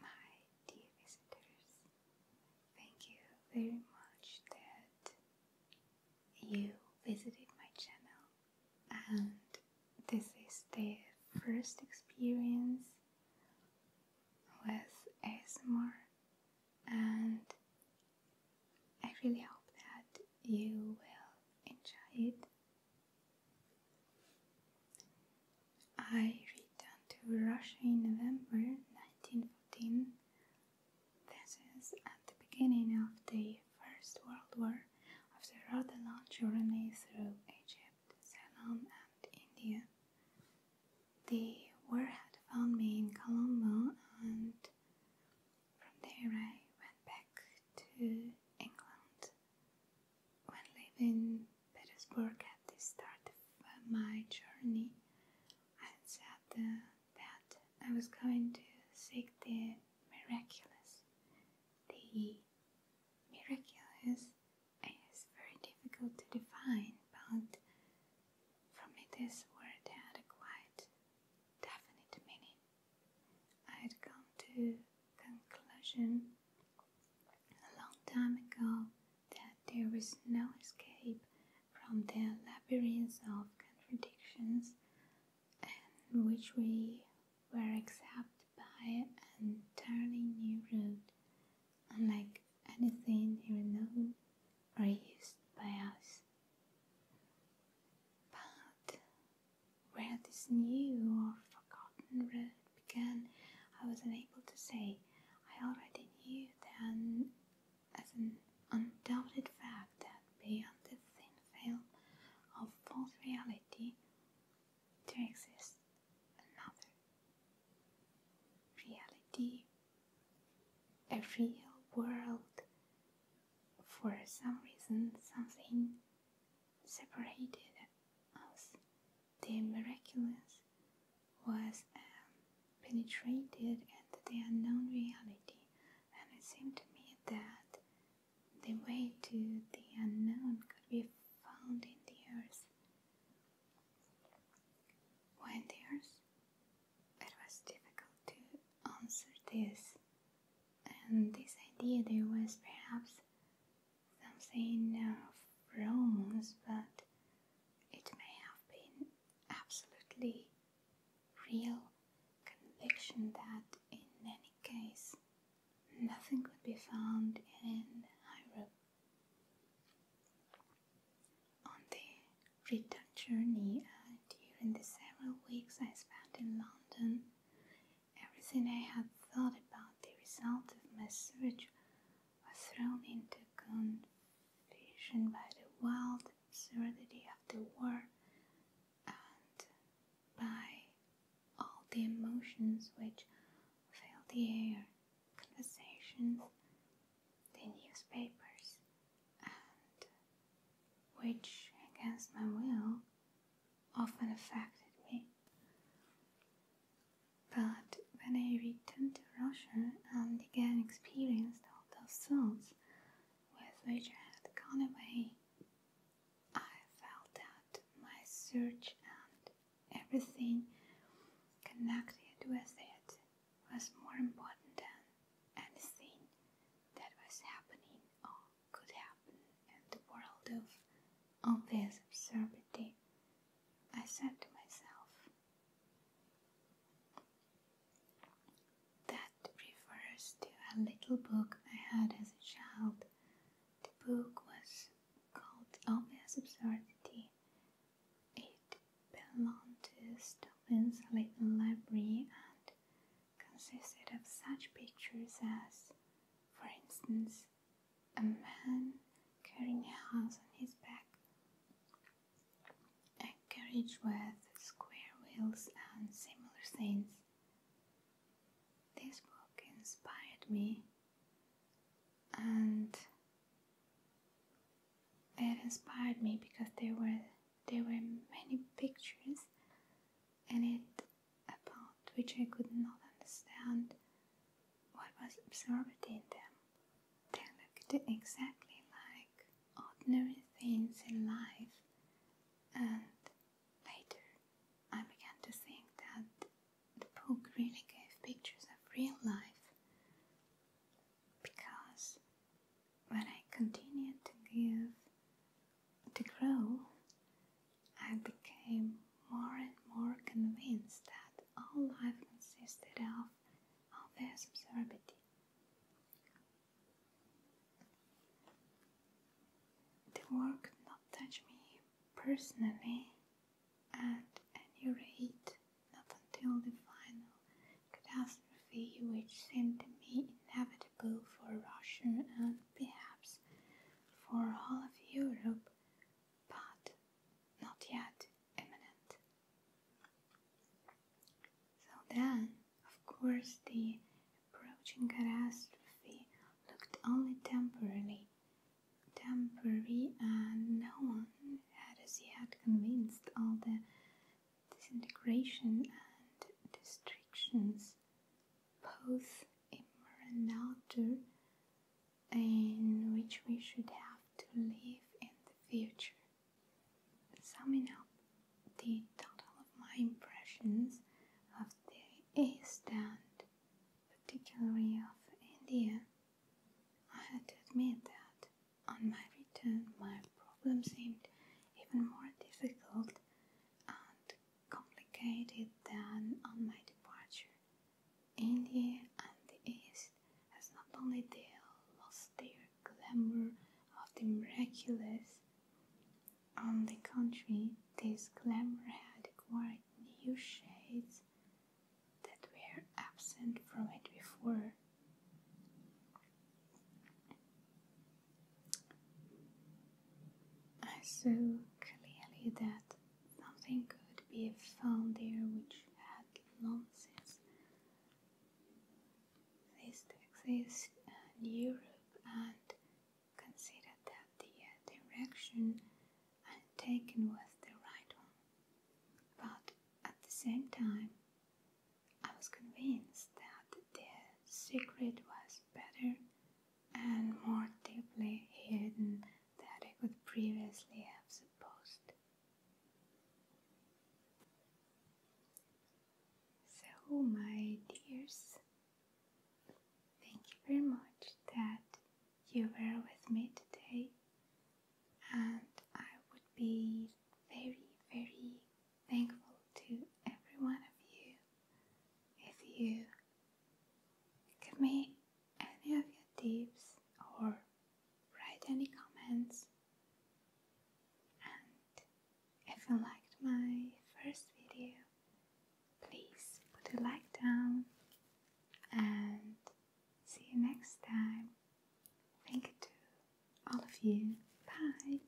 My dear visitors, thank you very much that you visited my channel and this is the first experience with ASMR and I really hope that you will enjoy it I returned to Russia in November 1914. This is at the beginning of the First World War, after a rather long journey through Egypt, Ceylon, and India. The war had found me in Colombo, and from there I went back to England. When leaving Petersburg at the start of uh, my journey, I said uh, that I was going to seek the miraculous. The miraculous is very difficult to define, but for me this word had a quite definite meaning. I had come to conclusion a long time ago that there was no escape from the labyrinth of contradictions in which we were accepted by an entirely new route, unlike anything ever known or used by us. But where this new or forgotten road began, I was unable to say. I already knew then, as an undoubted fact, that beyond the thin veil of false reality, there exists another reality, a real world. For some reason, something separated us. The miraculous was um, penetrated into the unknown reality, and it seemed to me that the way to the unknown could be found in the earth. Why the earth? It was difficult to answer this, and this idea there was perhaps something of romance, but it may have been absolutely real conviction that in any case nothing could be found in Iro On the return journey uh, during the several weeks I spent in London, Everything I had thought about the result of my search was thrown into confusion by the wild serenity of the war and by all the emotions which filled the air, conversations, the newspapers, and which, against my will, often affected me. But when I returned to Russia and again experienced all those thoughts with which I had gone away, I felt that my search and everything connected with it was more important than anything that was happening or could happen in the world of obvious absurdity, I said to myself. That refers to a little book I had as a child. The book was called Obvious Absurdity. It belonged to Stubin's little library and consisted of such pictures as, for instance, a man carrying a house on his back. A carriage with square wheels and similar scenes. This book inspired me and it inspired me because there were there were many pictures and it apart which I could not understand what was absorbed in them. They looked exactly like ordinary things in life, and later I began to think that the book really gave pictures of real life because when I continued to give to grow I became more and more convinced that all life consisted of obvious absurdity. The work did not touch me personally, at any rate, not until the final catastrophe, which seemed to me inevitable for Russia and perhaps for all of Europe, but not yet imminent. So then, of course, the approaching catastrophe looked only temporary, temporary, and no one had as yet convinced all the disintegration and destructions both inner and outer, and which we should have to live in the future. Summing up the total of my impressions of the East and particularly of India, I had to admit that on my return my problem seemed even more difficult and complicated than on my departure. India and the East has not only their lost their glamour of the miraculous, on the contrary, this glamour had acquired new shades that were absent from it before. I saw clearly that Something could be found there which had long since ceased to in Europe and considered that the direction taken was the right one. But at the same time, I was convinced that the secret was better and more deeply hidden than I could previously have supposed. So, my dears, thank you very much that you were with me today, and I would be very, very thankful to every one of you if you Give me any of your tips or write any comments. And if you liked my first video, please put a like down and see you next time. Thank you to all of you. Bye.